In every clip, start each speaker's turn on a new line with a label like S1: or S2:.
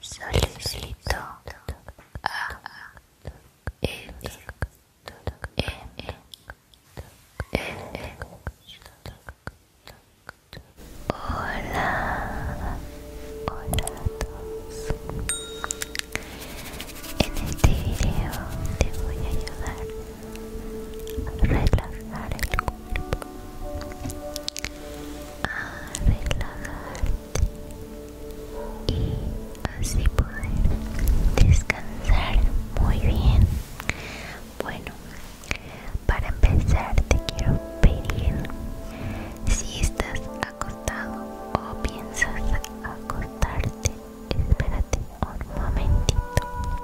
S1: soy a Hola, hola a todos. En este video te voy a ayudar a relajar el cuerpo a relajarte y así poder descansar muy bien bueno para empezar te quiero pedir si estás acostado o piensas acostarte espérate un momentito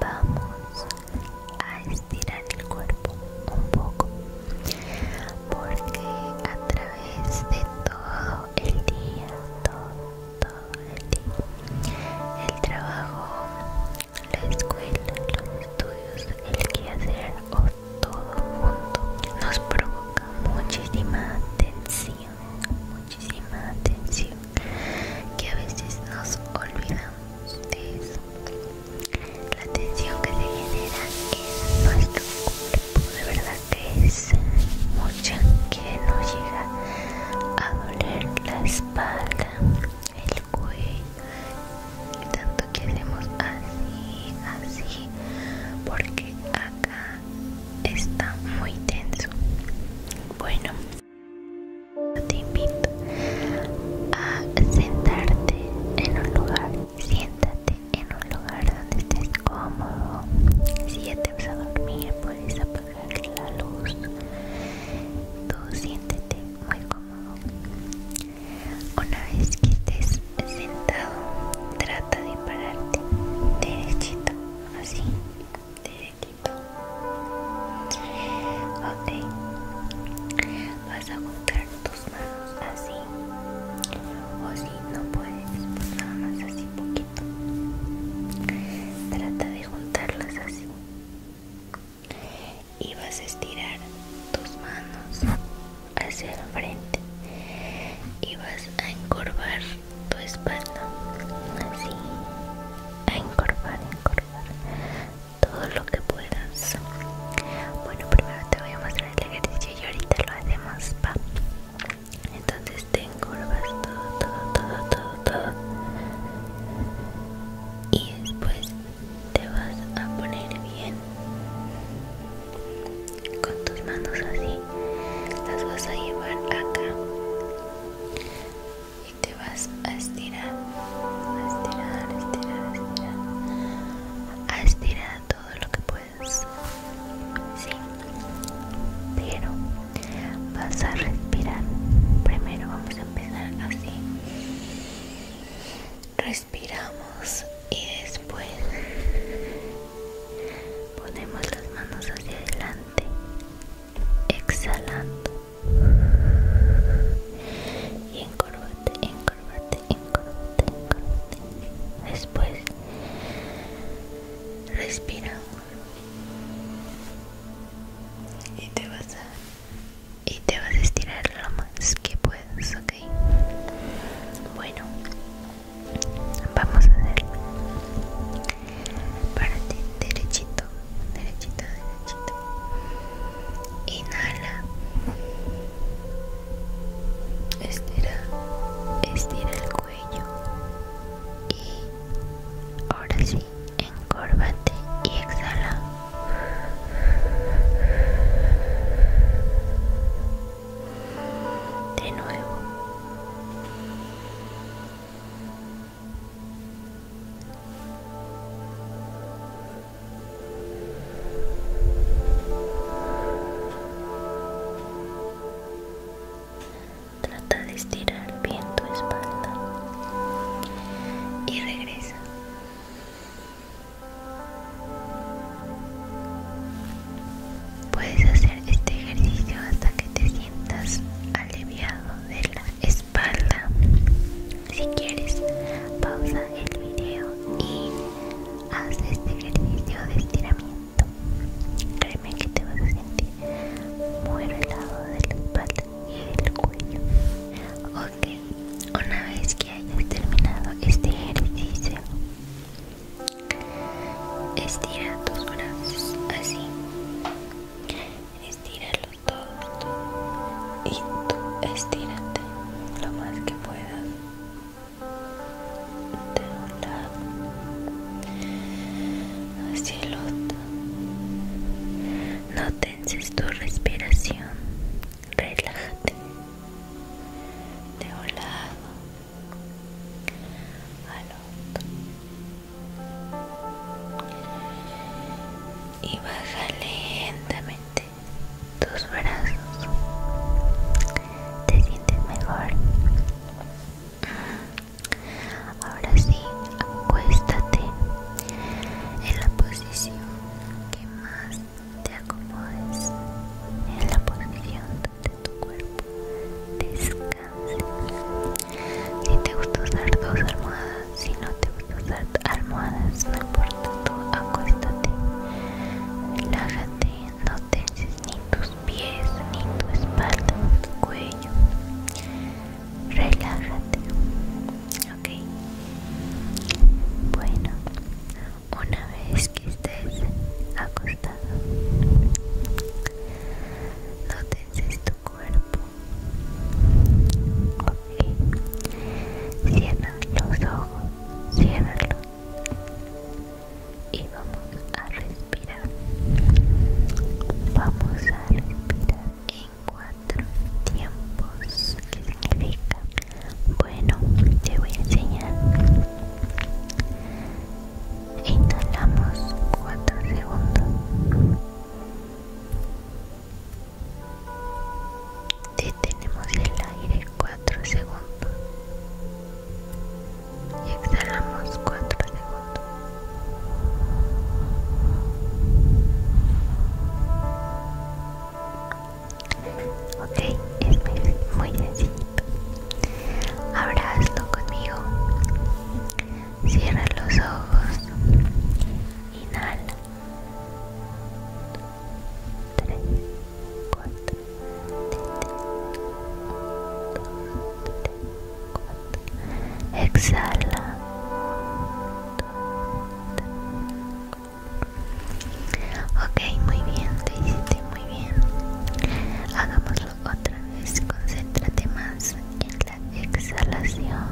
S1: vamos a estirar el cuerpo un poco porque a través de todo el día, todo, todo el día, el trabajo, la escuela, los estudios, el quehacer o todo junto nos provoca muchísima tensión, muchísima tensión que a veces nos olvidamos de eso la tensión que se genera en nuestro cuerpo de verdad que es mucha que nos llega a doler la espalda el cuello tanto que hacemos así así porque acá está muy tenso bueno te invito a sentarte en un lugar Siéntate en un lugar donde estés cómodo. Si ya te vas a dormir, puedes apagar la luz. Tú siéntete muy cómodo. Una vez que estés sentado, trata de pararte derechito, así, derechito. Ok, vas a juntar manos pues, así o si no puedes pues nada más así poquito trata de juntarlas así y vas a estirar tus manos hacia el frente y vas a encorvar tu espalda así a encorvar encorvar todo lo que puedas. Bueno, primero te voy a mostrar el ejercicio y ahorita lo hacemos, pa. Entonces te encorvas todo, todo, todo, todo, todo. Y después te vas a poner bien con tus manos así. Las vas a llevar acá y te vas a estirar, estirar, estirar, estirar a estirar todo lo que puedas, sí, pero vas a respirar. Primero vamos a empezar así. Respiramos y después ponemos las manos hacia adelante, exhalando y encorvate, Después respira y te vas a y te vas a estirar lo más que puedas, ¿ok? Bueno, vamos a hacer para ti derechito, derechito, derechito. Inhala estira, estira el cuello y ahora sí, encórvate y exhala. De nuevo. Trata de estirar bien tu espalda y regresa. Puedes hacer este ejercicio hasta que te sientas aliviado de la espalda. Si quieres, pausa el video y haz este ejercicio de estiramiento créeme que te vas a sentir muy relajado de la espalda y del cuello ok una vez que hayas terminado este ejercicio estira tus brazos así estíralos todos y tú estírate lo más que puedas de un lado hacia el otro. No tenses tu respiración, relájate de un lado al otro y baja lentamente tus brazos. ¿Te sientes mejor? Ahora sí, acuéstate en la posición que más te acomodes, en la posición donde tu cuerpo descanses Si te gusta usar dos almohadas, si no te gusta usar almohadas, no importa. Acústate, relájate, no tenses ni tus pies, ni tu espalda, ni tu cuello, relájate, ok. Bueno, una vez que estés acostado, no tenses tu cuerpo. ok Cierra los ojos Cierro y vamos a respirar vamos a respirar en cuatro tiempos significa bueno te voy a enseñar inhalamos cuatro segundos Detenemos el aire 4 segundos y exhalamos 4 segundos. Ok, es muy, sencillo. Ahora hazlo conmigo. Cierra los ojos. Inhala. 3 4 3 2 3 4 exhala ok muy bien lo muy bien hagámoslo otra vez concéntrate más en la exhalación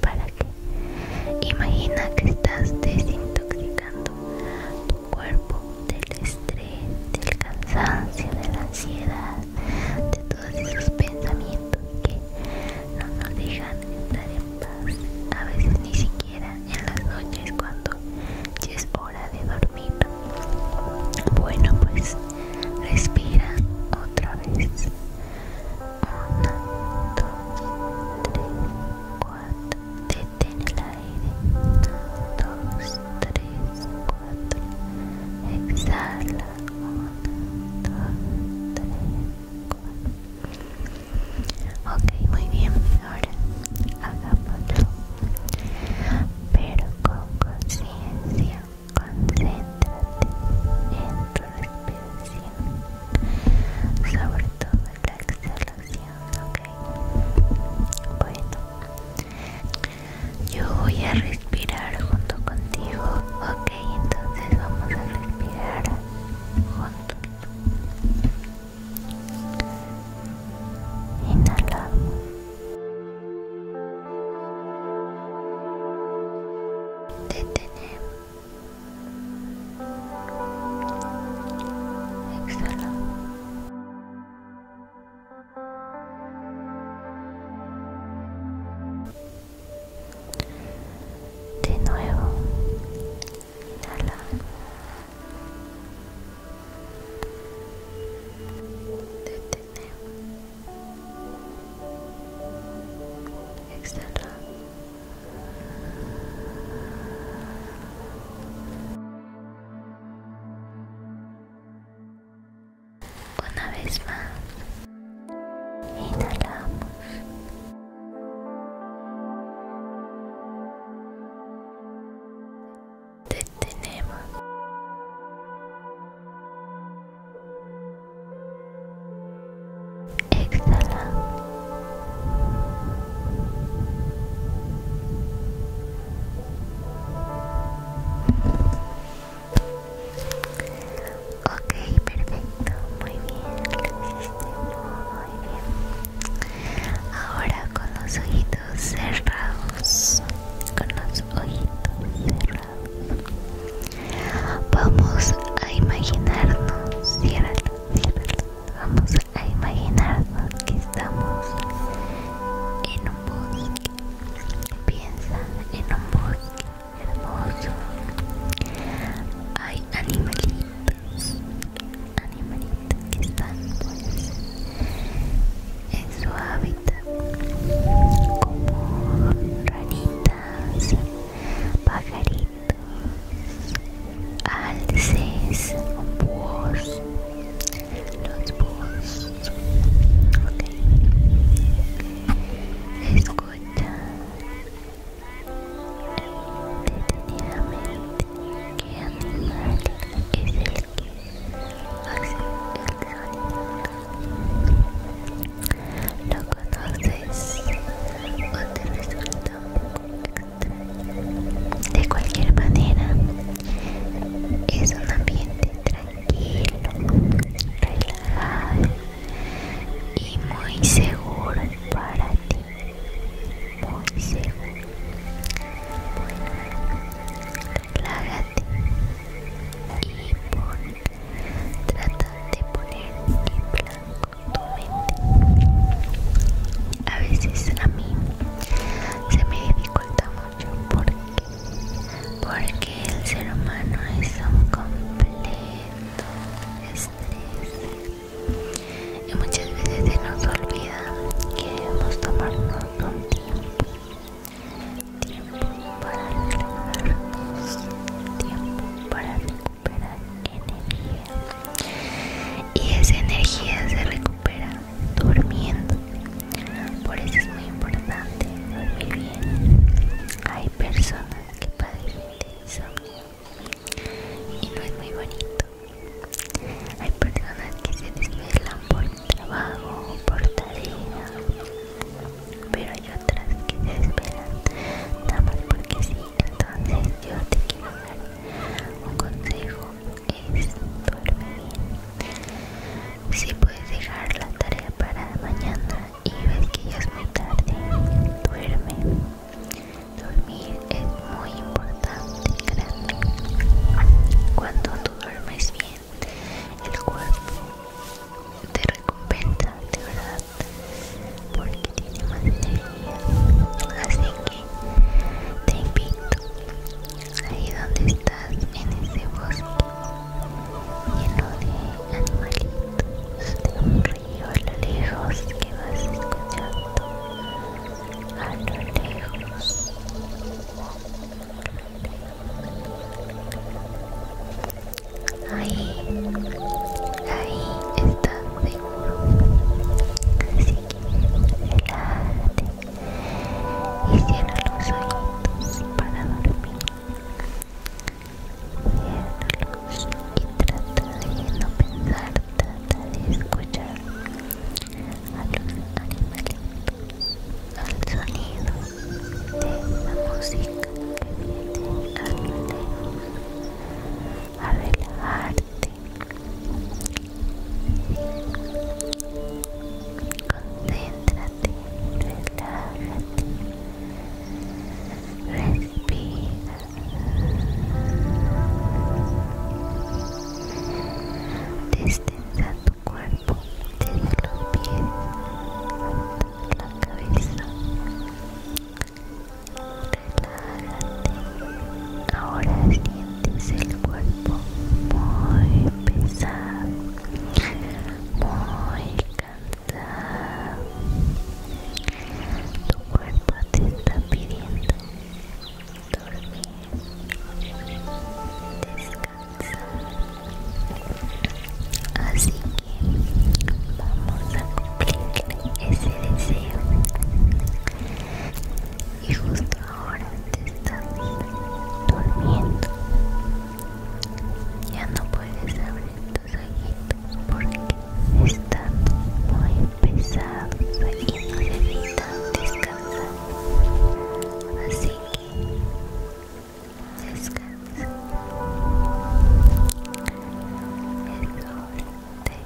S1: para qué? Imagina que estás desintoxicando tu cuerpo del estrés, del cansancio, de la ansiedad, de todos esos pensamientos que no nos dejan estar en paz. A veces ni siquiera en las noches cuando ya es hora de dormir. Bueno, pues respira otra vez. 1, 2, 3, 4, deten el aire. 2, 3, 4, exhala. 1, 2, 3, 4. Ok, muy bien. Ahora, hagámoslo. Pero con conciencia, concéntrate respiración, sobre todo la exhalación, ok. Bueno, yo voy a respirar junto contigo, ok. Entonces vamos a respirar juntos. Inhalamos. Detenemos. Exhala. De nuevo. Inhala. Detene. Exhala. Una vez más, inhalamos. Detenemos. Exhala. Ok, perfecto, muy bien, muy bien. Ahora con los ojitos cerrados, con los ojitos cerrados, vamos a imaginarnos, Cierra, cierra. Vamos a imaginarnos que estamos en un bosque. Piensa en un bosque hermoso. Hay animalitos, animalitos que están pues, en su hábitat, como ranitas, pajaritos alces, búhos, los búhos, escucha detenidamente qué animal es el que hace el sonido, lo conoces o te resulta de cualquier manera, es un ambiente tranquilo, relajado y muy seguro para ti. Muy seguro. Relájate y pon, trata de poner en a veces a mí se me dificulta mucho porque, porque el ser humano es un completo estrés. Y muchas veces se nos olvida que debemos tomarnos un tiempo. Tiempo para relajarnos, tiempo para energía y esa energía se recupera durmiendo por eso es muy importante dormir bien hay personas que padecen de insomnio y no es muy bonito hay personas que se desvelan por trabajo por tarea pero hay otras que se desvelan nada más porque sí entonces yo te quiero un consejo es duerme bien si puedes dejar la tarea para mañana y ves que ya es muy tarde duerme dormir es muy importante grande cuando tú duermes bien el cuerpo te recompensa de verdad porque tiene más energía así que te invito ahí donde estás en ese bosque lleno de animalitos de un río a lo lejos que vas escuchando a lo lejos Ahí ahí está seguro así que relájate y cierra los oídos para dormir ciérralos y trata de no pensar trata de escuchar a los animales, al sonido de la música que viene de lejos a relajarte concéntrate relájate respira destensa tu cuerpo tira los pies la cabeza Relájate. Ahora sientes el cuerpo muy pesado, muy cansado. Tu cuerpo te está pidiendo dormir, descansar. Así que vamos a cumplir ese deseo y justo ahora te viendo durmiendo ya no puedes abrir tus ojitos porque está muy pesado y no necesitas descansar así que descansa es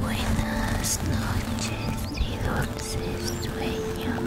S1: Buenas noches y dulces sueños.